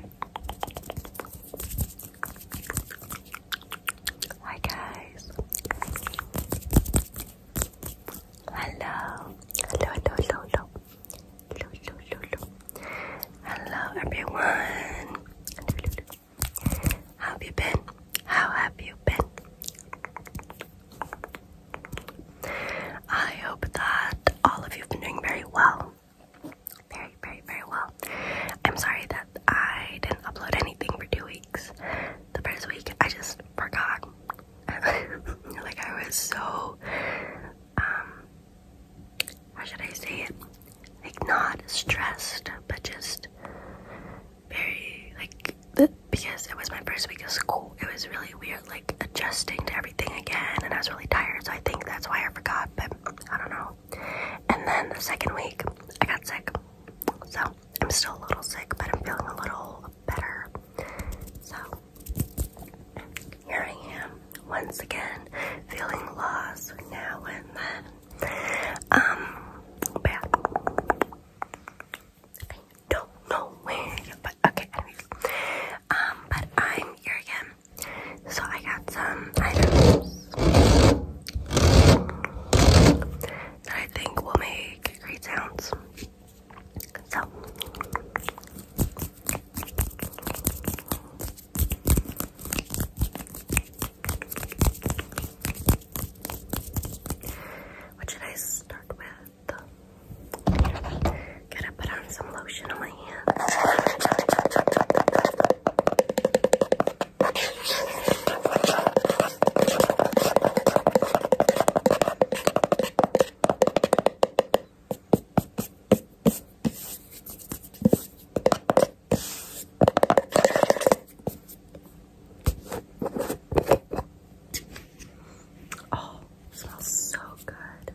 Hi guys. Hello. Hello, hello, hello, hello. Hello, hello, everyone. have you been? How have you been? I hope that all of you have been doing very well very, very, very well. I'm sorry that I didn't upload anything for two weeks. The first week, I just forgot. like, I was so, um, how should I say it? Like, not stressed, but just very, like, the, because it was my first week of school, it was really weird, like, adjusting to everything again, and I was really tired, so I think that's why I forgot, but I don't know. And then the second week, I got sick. So I'm still a little sick, but I'm feeling a little better. So here I am once again, feeling lost now and then. Um, I don't know when, but okay, anyways. Um, but I'm here again. So I got some items that I think will make great sounds. So what should I start with? Gotta put on some lotion on my hands. Oh, smells so good.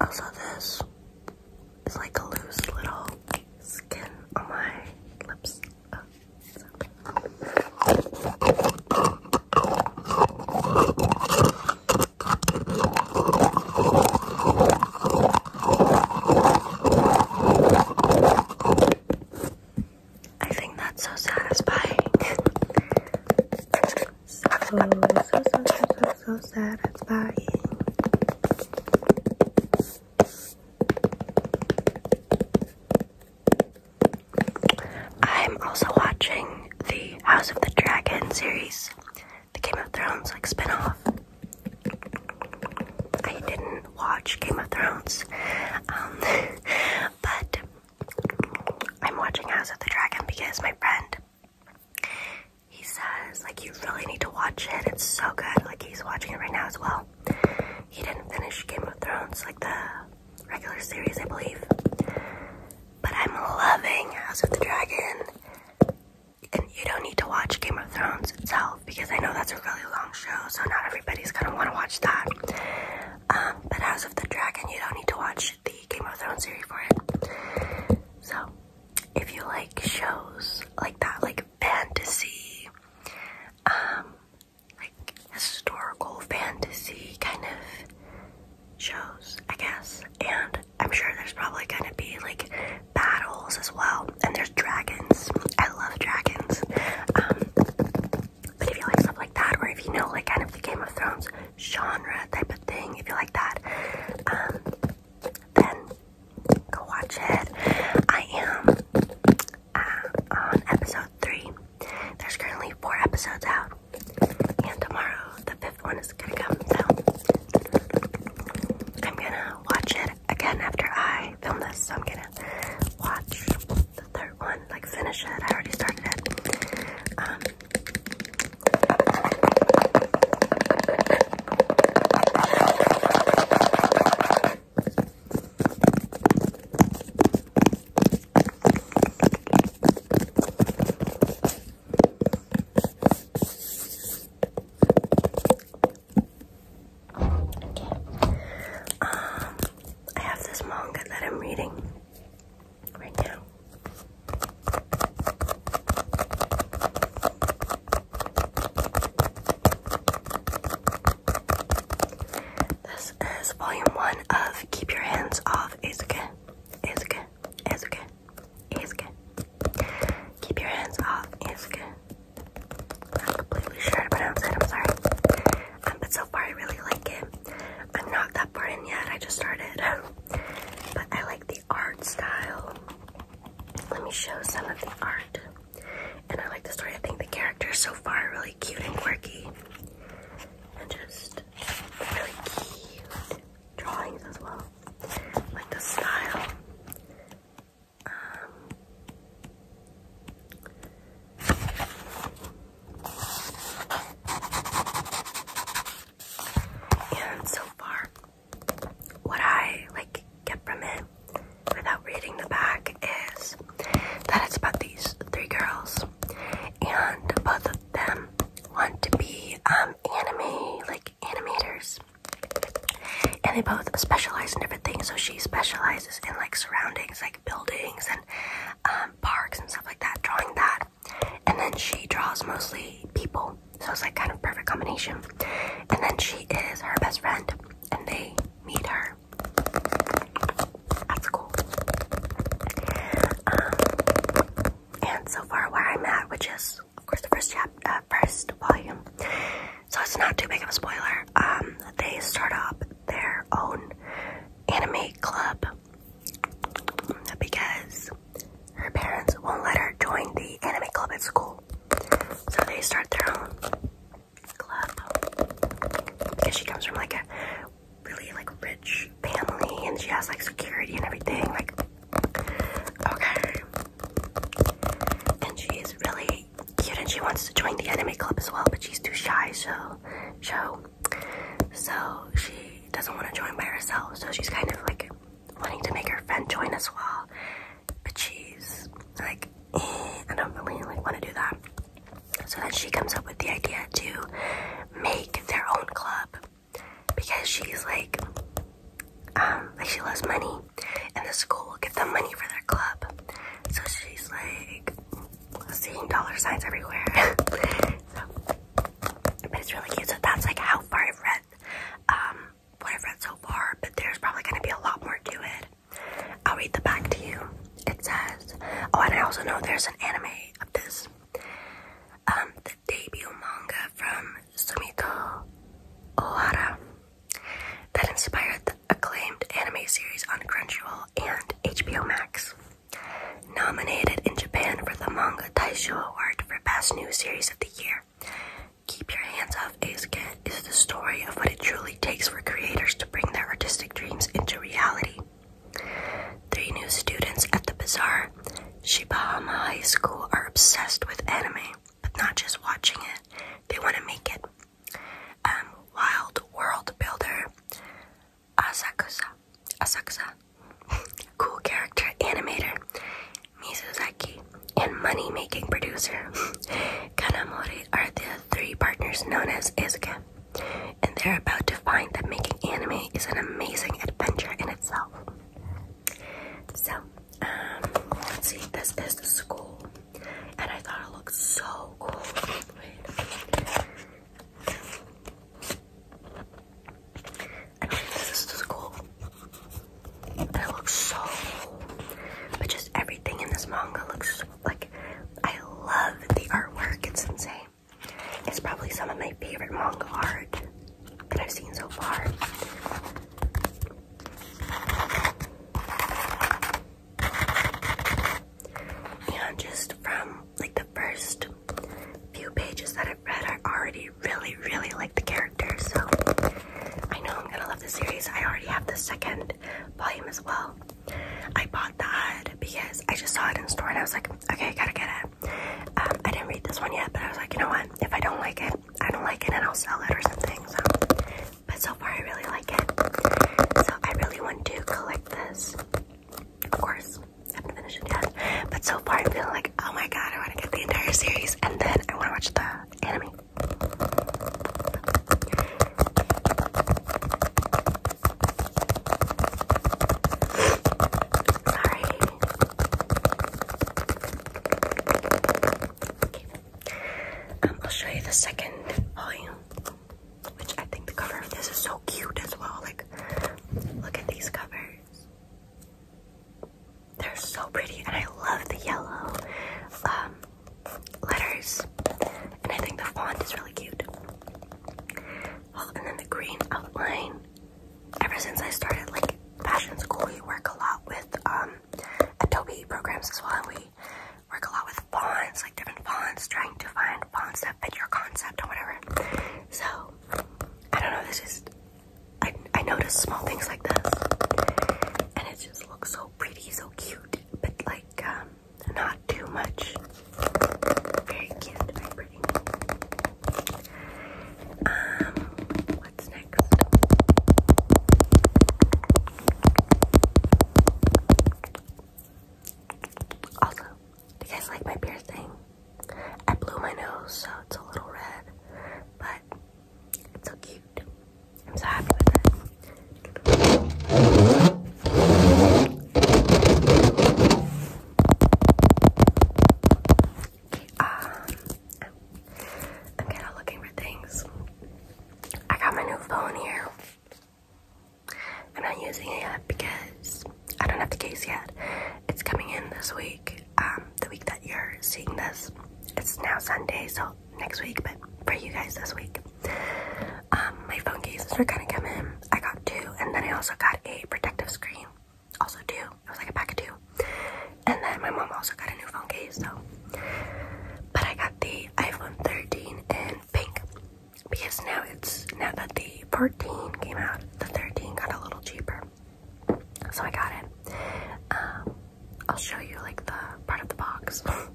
Also, this is like a loose little skin on my lips. I think that's so satisfying. So, so, so, so, so, so satisfying. I'm also watching the House of the Dragon series, the Game of Thrones like spinoff. I didn't watch Game of Thrones, um, but I'm watching House of the Dragon because my friend he says, like, you really need to watch it. It's so good. Like, he's watching it right now as well. He didn't finish Game of Thrones, like the regular series, I believe. But I'm loving House of the Dragon. And you don't need to watch Game of Thrones itself because I know that's a really long show, so not everybody's gonna want to watch that. Um, but House of the Dragon, you don't need to watch the Game of Thrones series for it. So, if you like shows like that, like fantasy, um, like historical fantasy kind of shows, I guess, and I'm sure there's probably gonna be like battles as well, and there's dragons. I love dragons. Um, but if you like stuff like that, or if you know like kind of the Game of Thrones genre type of thing, if you like that, um, then go watch it. I am uh, on episode three. There's currently four episodes out, and tomorrow the fifth one is gonna come. So I'm gonna watch it again after I film this. So I'm gonna watch the third one, like finish it. I already started it. Um, um, I have this manga that I'm reading right now. This is volume one of Keep Your Hands Off Isuke. Isuke. Isuke. Isuke. Keep Your Hands Off Isuke. I'm not completely sure how to pronounce it, I'm sorry. Um, but so far I really like it. I'm not that far in yet, I just started. but I like the art style. Let me show some of the art. And I like the story. I think the characters so far are really cute and quirky. And just really cute drawings as well. Like the style. Um, and so far, what I like get from it without reading the back is that it's about these three girls, and both of them want to be um, anime like animators, and they both specialize in different things. So she specializes in like surroundings, like buildings and um, parks and stuff like that, drawing that, and then she draws mostly people, so it's like kind of perfect combination. And then she is her best friend, and they meet her. That's cool. Um, and so far, where I'm at, which is of course the first chap, uh, first volume, so it's not too big of a spoiler. Um, they start up their own anime club because her parents won't let her join the anime club at school. So they start their own club because she comes from like a really like rich family and she has like security and everything like okay and she is really cute and she wants to join the anime club as well but she's too shy so show. So she doesn't want to join by herself, so she's kind of like wanting to make her friend join as well. But she's like, eh, I don't really like want to do that. So then she comes up with the idea to make their own club because she's like, um, like she loves money, and the school will give them money for their club. So she's like, seeing dollar signs everywhere. but it's really cute. So that's like how far I've read um, what I've read so far, but there's probably going to be a lot more to it. I'll read the back to you. It says, oh, and I also know there's an anime of this. Um, the debut manga from Sumiko Ohara that inspired the acclaimed anime series on Crunchyroll and HBO Max. Nominated in Japan for the Manga Taisho Award for Best New Series of the Year, Keep Your Hands Off Ace Cat is the story of what it truly takes for creators to bring their artistic dreams into reality. Three new students at the Bazaar Shibahama High School are obsessed with anime, but not just watching it, they want to make it. Um, wild world builder Asakusa, Asakusa, cool character animator, Mizuzaki, and money-making producer. Kanamori are the three partners known as Izuka, and they're about to find that making anime is an amazing adventure in itself. So, um, let's see, this is the school, and I thought it looked so cool. I mean, this is cool. it looks so. But just everything in this manga looks like. I love the artwork, it's insane. It's probably some of my favorite manga art that I've seen so far. And just from like the first few pages that i read, I already really, really like the characters. So I know I'm gonna love the series. I already have the second volume as well. I bought that because I just saw it in store and I was like, okay, I gotta get it. Um, I didn't read this one yet, but I was like, you know what? If I don't like it, I don't like it and I'll sell it or something. So, but so far I really like it. So I really want to collect this. Of course, I haven't finished it yet. But so far, I'm feeling like, oh my god, I want to get the entire series, and then I want to watch the anime. Sorry. Um, I'll show you the second volume. Which I think the cover of this is so cute as well. Like, look at these covers. They're so pretty, and I love the yellow um, letters. And I think the font is really cute. Oh, and then the green outline. Ever since I started like fashion school, we work a lot with um, Adobe programs as well. And we work a lot with fonts, like different fonts, trying to find fonts that fit your concept or whatever. So, I don't know, this is, I, I notice small things like this, and it just looks so pretty, so cute, but like, um, not too much. Very cute, very pretty. Um, what's next? Also, do you guys like my piercing? I blew my nose, so it's a little red, but it's so cute. I'm so happy with it. um, I'm kind of looking for things. I got my new phone here. I'm not using it yet because I don't have the case yet. It's coming in this week, um, the week that you're seeing this. It's now Sunday, so next week, but for you guys this week. Um, my phone cases are gonna come in. I got two, and then I also got a protective screen. Also two. It was like a pack of two. And then my mom also got a new phone case, so. But I got the iPhone 13 and pink because now it's now that the 14 came out, the 13 got a little cheaper, so I got it. Um, I'll show you like the part of the box.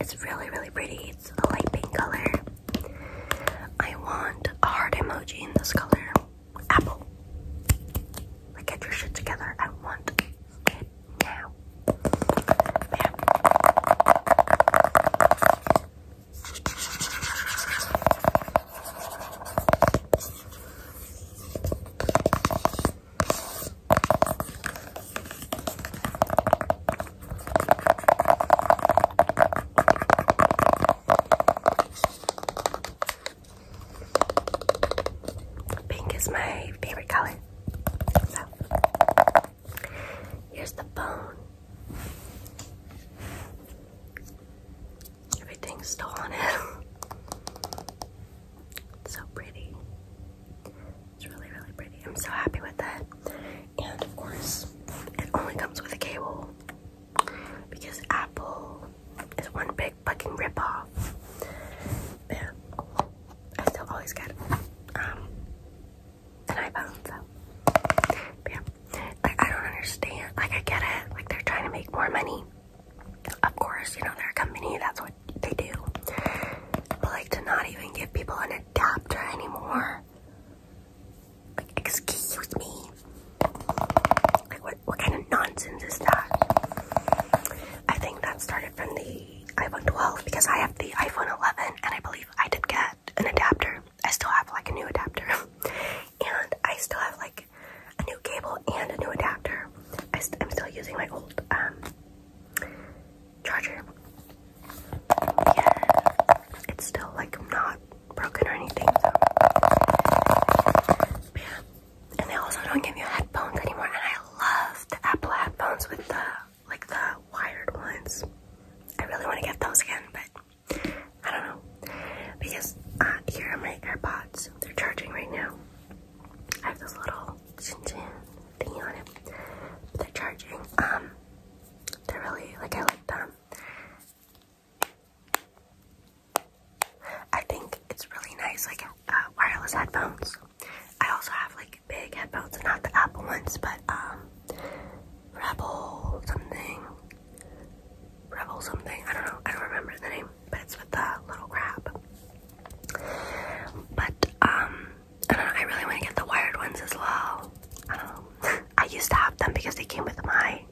It's really, really pretty. It's a light pink color. I want a heart emoji in this color. Apple. Like, get your shit together. I want it now. Yeah. Pink is my favorite color. So, here's the phone. Everything's still on it. so pretty. It's really, really pretty. I'm so happy with that. And of course, it only comes with a cable because Apple is one big fucking ripoff. But I still always get um an iPhone, so but Like I don't understand. Like I get it. Like they're trying to make more money. Of course, you know they're a company. That's what they do. But like to not even give people an adapter anymore. Like excuse me. Like, what, what kind of nonsense is that? I think that started from the iPhone 12 because I have the iPhone 11 and I believe I did get an adapter. I still have like a new adapter and I still have like a new cable and a new adapter. I I'm still using my old um, charger. it's still like not broken or anything. So. And they also don't give you headphones anymore. And I love the Apple headphones with the like the wired ones. I really want to get those again, but I don't know. Because uh, here are my AirPods. They're charging right now. I have this little chin chin on it. They're charging. Um, they're really like I like them. I think it's really nice, like uh, wireless headphones. I also have like big headphones, not the Apple ones, but um, Rebel something, Rebel something. I don't know. I don't remember the name, but it's with the little crab. But um, I don't know. I really want to get the wired ones as well. Um, I used to have them because they came with my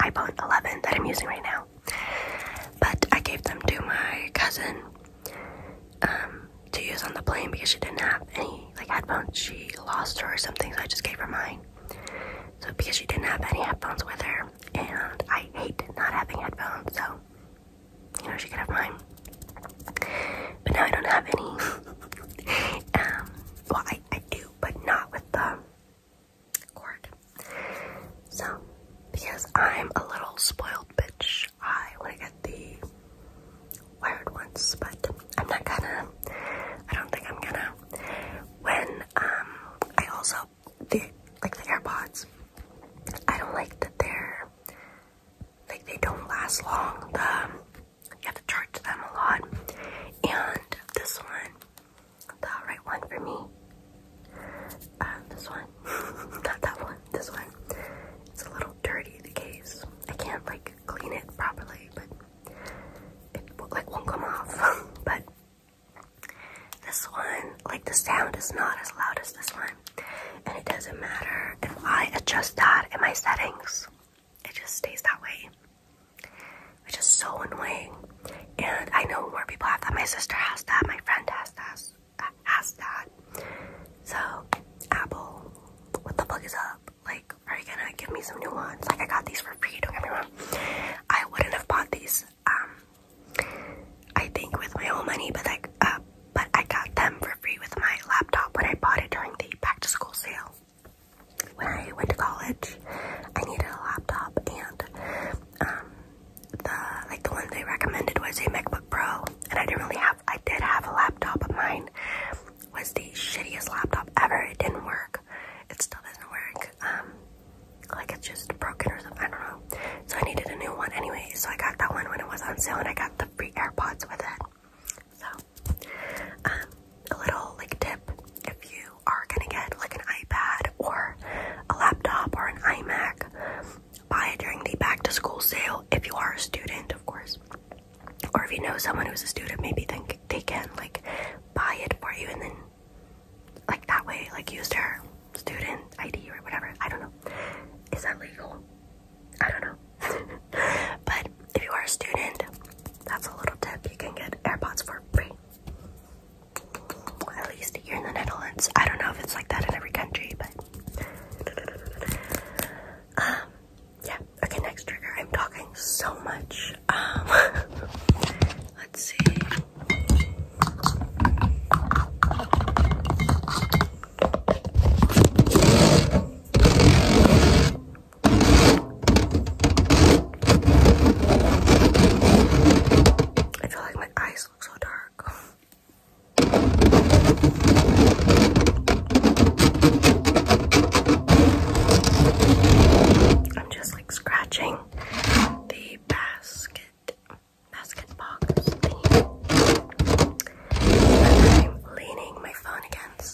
iPhone 11 that I'm using right now. But I gave them to my cousin um, to use on the plane because she didn't have any like headphones. She lost her or something, so I just gave her mine. So because she didn't have any headphones with her, and I hate not having headphones, so you know she could have mine. But now I don't have any. um, well, I I do, but not with the cord. So, because I'm a little spoiled bitch, I want to get the wired ones, but I'm not gonna. I don't think I'm gonna. When um, I also the like the AirPods, I don't like that they're like they don't last long. Um, you have to charge them a lot, and this one the right one for me. Uh, this one, not that one, this one. It's a little dirty, the case. I can't like clean it properly, but it like won't come off. but this one, like the sound is not as loud as this one. And it doesn't matter if I adjust that in my settings. It just stays that way which is so annoying. And I know more people have that. My sister has that. My friend has that. Has that. So, Apple, what the fuck is up? Like, are you gonna give me some new ones? Like, I got these for free. Don't get me wrong. I wouldn't have bought these. Um, I think with my own money, but like, uh, but I got them for free with my laptop when I bought it during the back to school sale when I went to college, I needed a laptop, and um, the like the one they recommended was a MacBook Pro, and I didn't really have. I did have a laptop, but mine was the shittiest laptop ever. It didn't work. It still doesn't work. Um, like it's just broken or something. I don't know. So I needed a new one anyway. So I got that one when it was on sale, and I got the free AirPods with it. So, um, a little like tip if you are gonna get like an iPad or a laptop or an iMac, buy it during the back to school sale if you are a student, of course. Or if you know someone who's a student, maybe think they can like buy it for you and then like that way, like use her student ID or whatever. I don't know. Is that legal? I don't know. but if you are a student, that's a little tip. You can get AirPods for free. At least here in the Netherlands. I don't know if it's like that in every country, but um, yeah. Okay, next trigger. I'm talking so much. Um, let's see. I feel like my eyes look so dark. I'm just like scratching the basket, basket box I'm leaning my phone against.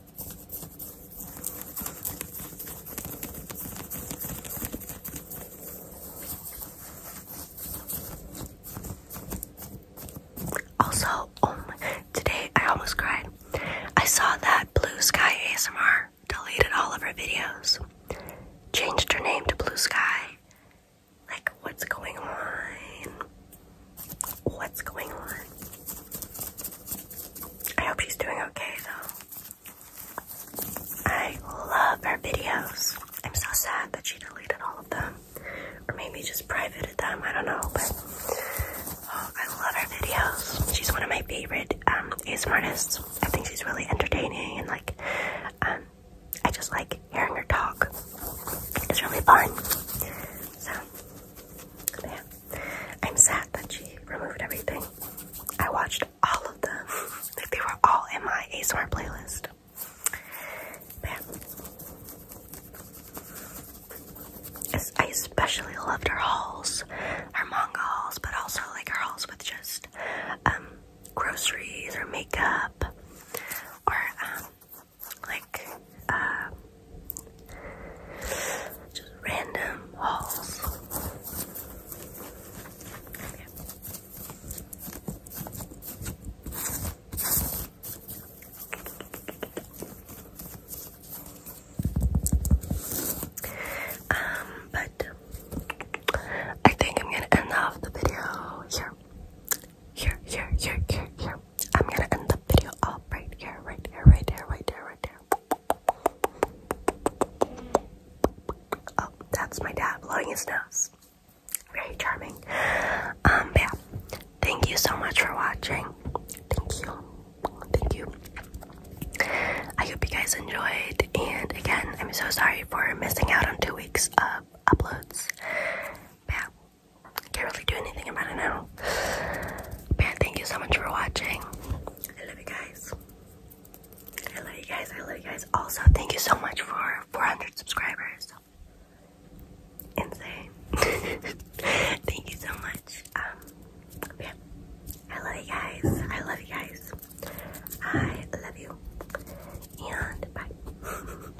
Also, oh today I almost cried. I saw that Blue Sky ASMR deleted all of her videos, changed her name to Blue Sky. Like, what's going on? what's going on. I hope she's doing okay though. I love her videos. I'm so sad that she deleted all of them. Or maybe just privated them, I don't know, but oh, I love her videos. She's one of my favorite um ASMR artists. I think she's really entertaining and like um, I just like hearing her talk. It's really fun. So, yeah. I'm sad that she removed everything. I watched all of them. Like, they were all in my ASMR playlist. Man. I especially loved her hauls, her manga hauls, but also like her hauls with just um, groceries or makeup or um, like uh, just random hauls. Um, but I think I'm gonna end off the video here. Here, here, here, here, I'm gonna end the video off right here, right here, right here, right here, right here. Oh, that's my dad blowing his nose. Very charming. Um, yeah. Thank you so much for watching. Thank you. Thank you. I hope you guys enjoyed. And again, I'm so sorry for missing out on two weeks of uploads. yeah. Can't really do anything about it now. But thank you so much for watching. I love you guys. I love you guys. I love you guys. Also, thank you so much for 400 subscribers. Insane. thank you so much. Um, yeah. I love you guys. I love you guys. I love you. And bye.